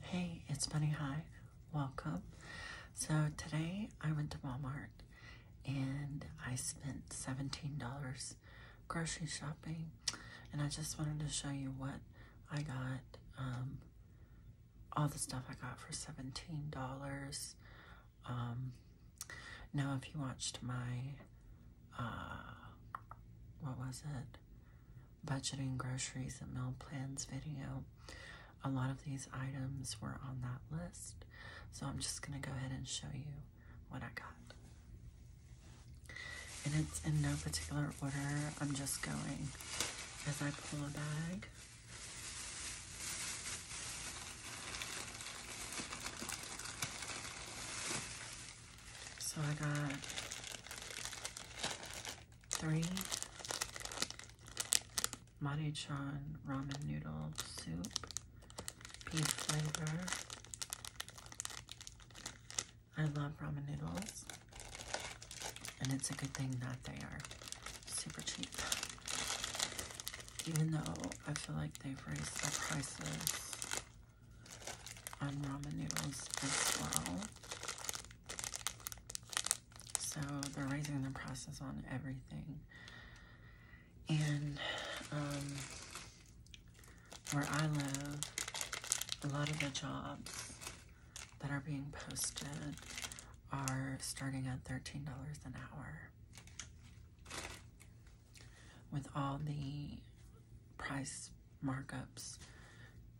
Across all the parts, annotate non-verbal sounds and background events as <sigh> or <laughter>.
Hey, it's Bunny High. Welcome. So today I went to Walmart and I spent $17 grocery shopping. And I just wanted to show you what I got. Um, all the stuff I got for $17. Um, now, if you watched my, uh, what was it? budgeting groceries and meal plans video. A lot of these items were on that list, so I'm just going to go ahead and show you what I got. And it's in no particular order. I'm just going as I pull a bag. So I got three Maruchan ramen noodle soup, beef flavor. I love ramen noodles, and it's a good thing that they are super cheap. Even though I feel like they've raised the prices on ramen noodles as well. So they're raising the prices on everything. And um, where I live, a lot of the jobs that are being posted are starting at $13 an hour. With all the price markups,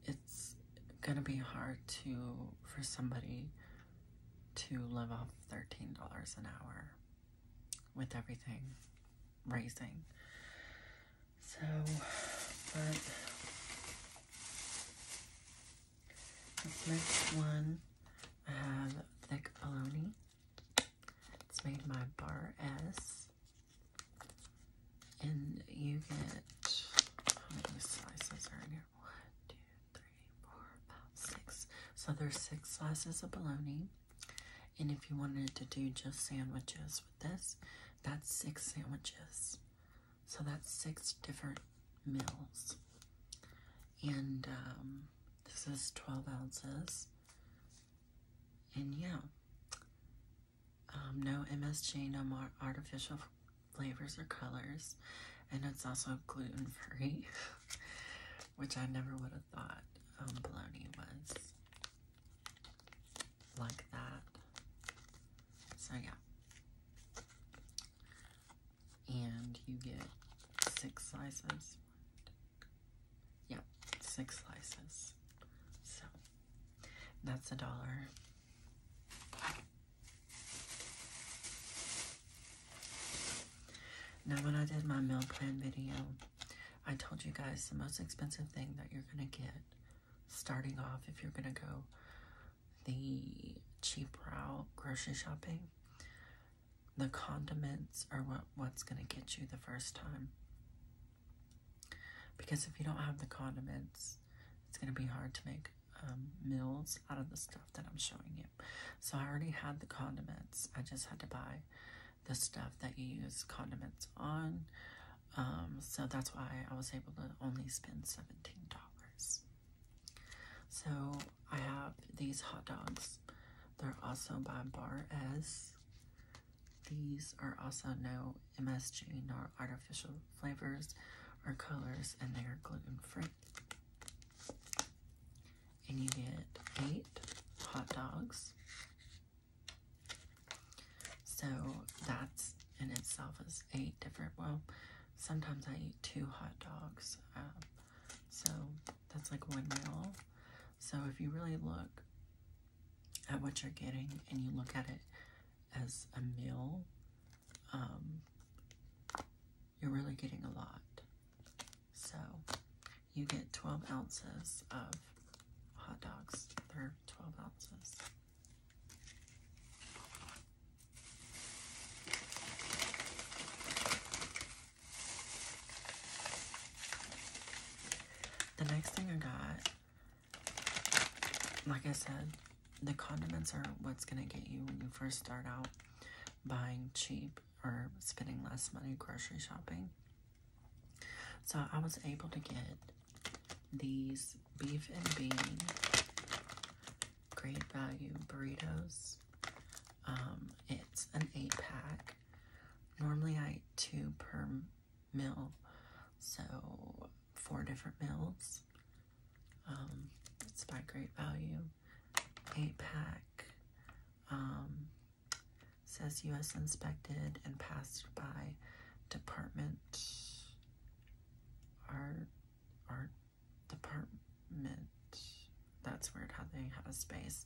it's gonna be hard to for somebody to live off $13 an hour with everything raising. So, but this next one, I have Thick Bologna. It's made my Bar S. And you get how many slices are in here? One, two, three, four, five, six. So there's six slices of bologna. And if you wanted to do just sandwiches with this, that's six sandwiches. So that's six different meals. And um, this is 12 ounces. And yeah, um, no MSG, no more artificial flavors or colors, and it's also gluten free, <laughs> which I never would have thought um, bologna was like that. So, yeah. And you get six slices. Yeah, six slices. So. That's a dollar. Now, when I did my meal plan video, I told you guys the most expensive thing that you're going to get starting off if you're going to go the cheap route grocery shopping. The condiments are what, what's going to get you the first time. Because if you don't have the condiments, it's going to be hard to make um, meals out of the stuff that I'm showing you. So I already had the condiments. I just had to buy the stuff that you use condiments on. Um, so that's why I was able to only spend $17. So I have these hot dogs. They're also by Bar S. These are also no MSG nor artificial flavors or colors, and they are gluten free. And you get eight hot dogs. So that's in itself is eight different. Well, sometimes I eat two hot dogs. Um, so that's like one meal. So if you really look, at what you're getting and you look at it as a meal, um, you're really getting a lot. So you get 12 ounces of hot dogs. They're 12 ounces. The next thing I got like I said, the condiments are what's going to get you when you first start out buying cheap or spending less money grocery shopping. So I was able to get these beef and bean great value burritos. Um, it's an eight pack. Normally I two per mill. So four different mills. Um, it's by Great Value. Eight pack. Um, says U.S. inspected and passed by Department Art Art Department. That's weird how they have a space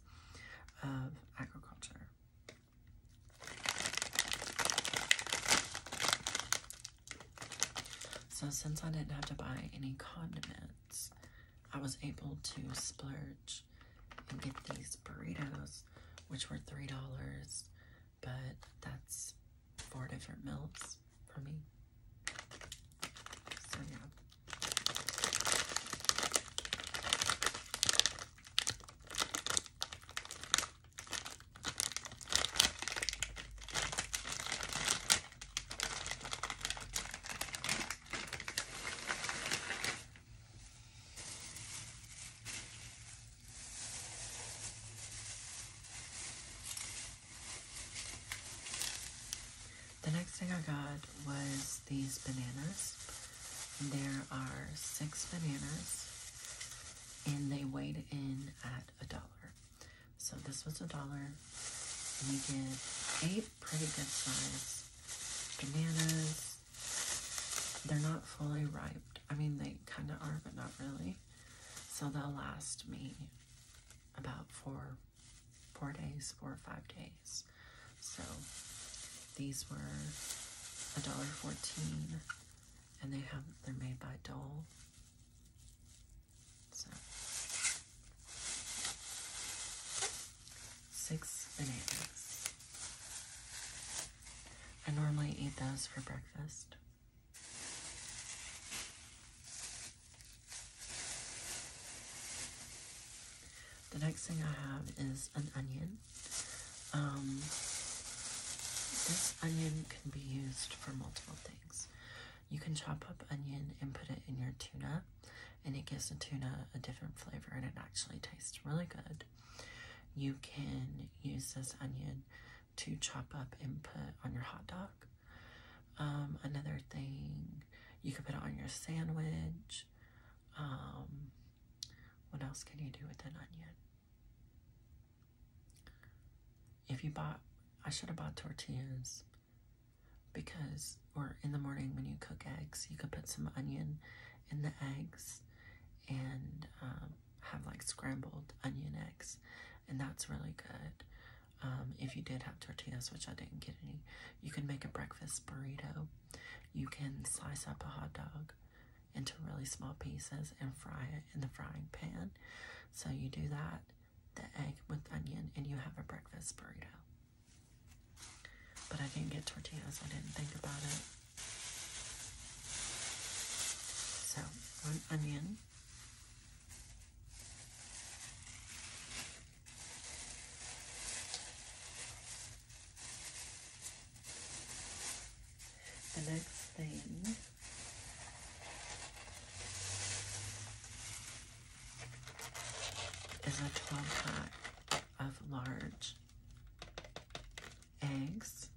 of agriculture. So since I didn't have to buy any condiments, I was able to splurge and get these burritos, which were $3, but that's four different meals for me. So yeah. The next thing I got was these bananas. There are six bananas and they weighed in at a dollar. So this was a dollar. And you get eight pretty good size bananas. They're not fully ripe. I mean, they kind of are, but not really. So they'll last me about four, four days, four or five days. So these were $1.14 and they have they're made by Dole. So six bananas. I normally eat those for breakfast. The next thing I have is an onion. Um, this onion can be used for multiple things. You can chop up onion and put it in your tuna, and it gives the tuna a different flavor and it actually tastes really good. You can use this onion to chop up and put on your hot dog. Um, another thing, you can put it on your sandwich. Um, what else can you do with an onion? If you bought, I should have bought tortillas because, or in the morning when you cook eggs, you could put some onion in the eggs and um, have like scrambled onion eggs, and that's really good. Um, if you did have tortillas, which I didn't get any, you can make a breakfast burrito. You can slice up a hot dog into really small pieces and fry it in the frying pan. So you do that, the egg with onion, and you have a breakfast burrito. But I didn't get tortillas. I didn't think about it. So one onion. The next thing is a 12 pack of large eggs.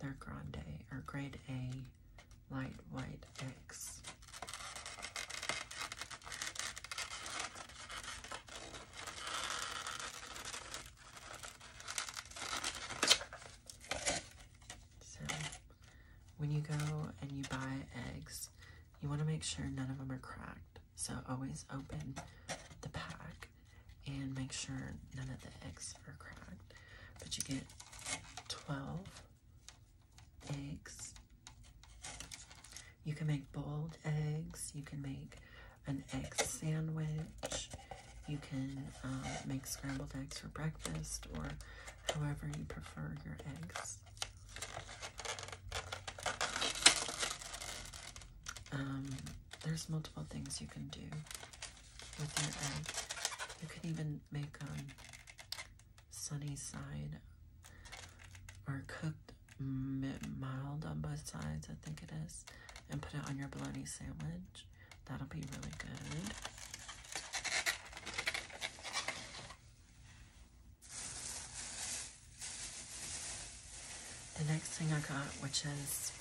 They're grande or grade A light white eggs. So, when you go and you buy eggs, you want to make sure none of them are cracked. So, always open the pack and make sure none of the eggs are cracked. But you get 12 eggs you can make boiled eggs. You can make an egg sandwich. You can um, make scrambled eggs for breakfast or however you prefer your eggs. Um, there's multiple things you can do with your egg. You can even make um, sunny side or cooked mild on both sides, I think it is, and put it on your bologna sandwich. That'll be really good. The next thing I got, which is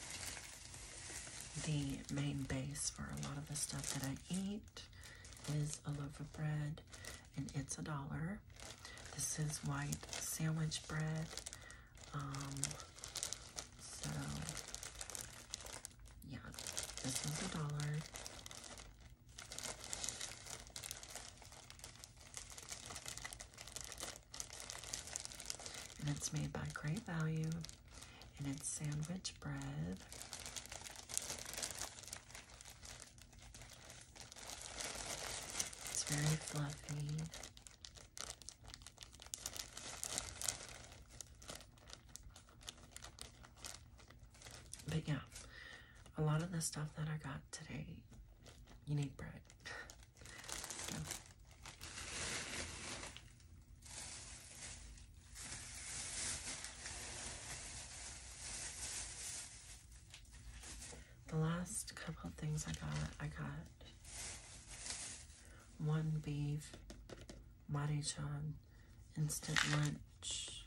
the main base for a lot of the stuff that I eat, is a loaf of bread and it's a dollar. This is white sandwich bread. Um, so, yeah, this is a dollar. And it's made by Great Value, and it's sandwich bread. It's very fluffy. But yeah, a lot of the stuff that I got today, you need bread. The last couple of things I got, I got one beef, Marichan, instant lunch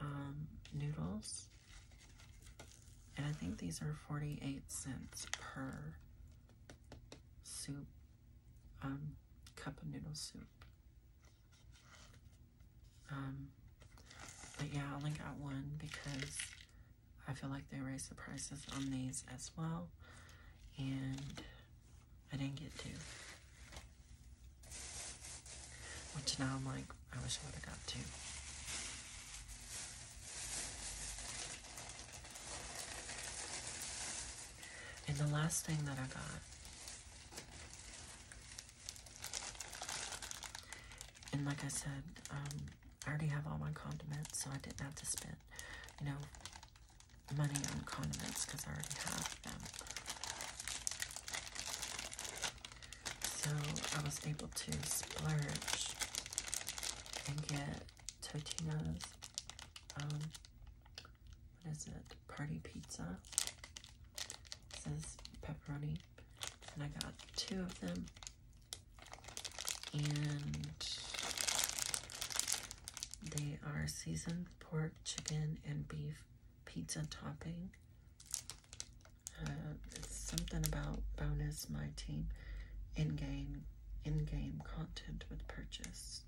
um, noodles. And I think these are 48 cents per soup, um, cup of noodle soup. Um, but yeah, I only got one because I feel like they raised the prices on these as well. And I didn't get two. Which now I'm like, I wish I would have got two. And the last thing that I got and like I said, um, I already have all my condiments, so I didn't have to spend, you know, money on condiments because I already have them. So I was able to splurge and get Totino's, um, what is it, party pizza. It says pepperoni and I got two of them. And they are seasoned pork, chicken, and beef pizza topping. Uh, it's something about bonus my team in-game in-game content with purchase.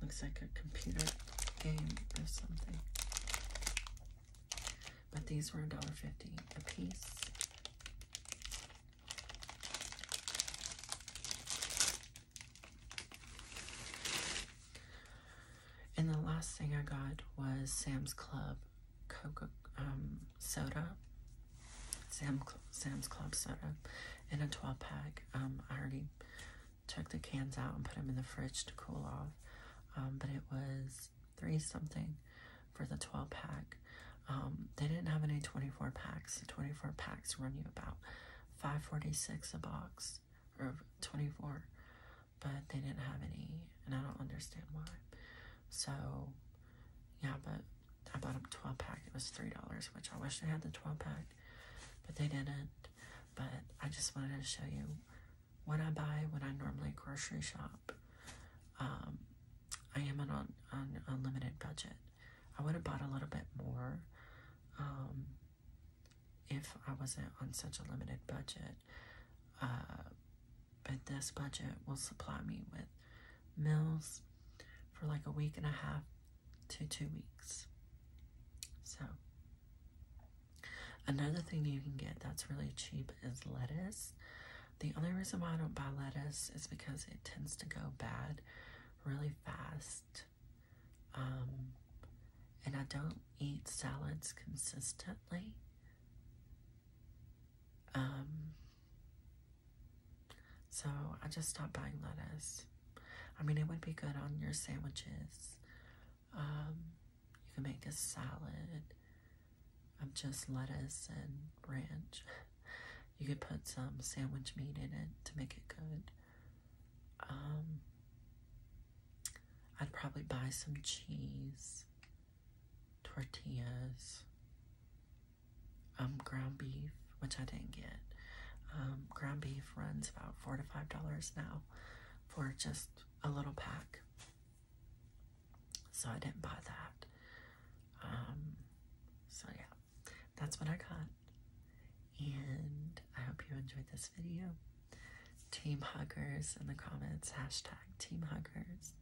Looks like a computer game or something. But these were $1.50 a piece. And the last thing I got was Sam's Club Coca um, soda. Sam Sam's Club soda in a 12 pack. Um, I already took the cans out and put them in the fridge to cool off. Um, but it was three something for the 12 pack. Um, they didn't have any 24 packs. 24 packs run you about 546 a box or 24, but they didn't have any, and I don't understand why. So, yeah, but I bought a 12 pack. It was $3, which I wish I had the 12 pack, but they didn't but I just wanted to show you what I buy when I normally grocery shop. Um, I am on an unlimited budget. I would have bought a little bit more um, if I wasn't on such a limited budget. Uh, but this budget will supply me with meals for like a week and a half to two weeks. So Another thing you can get that's really cheap is lettuce. The only reason why I don't buy lettuce is because it tends to go bad really fast. Um, and I don't eat salads consistently. Um, so I just stopped buying lettuce. I mean, it would be good on your sandwiches, um, you can make a salad of just lettuce and ranch. <laughs> You could put some sandwich meat in it to make it good. Um, I'd probably buy some cheese, tortillas, um, ground beef, which I didn't get. Um, ground beef runs about four to five dollars now for just a little pack. So I didn't buy that. Um, so yeah, that's what I got. And I hope you enjoyed this video. Team Huggers in the comments, hashtag Team Huggers.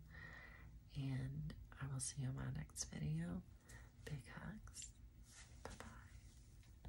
And I will see you in my next video. Big hugs. Bye-bye.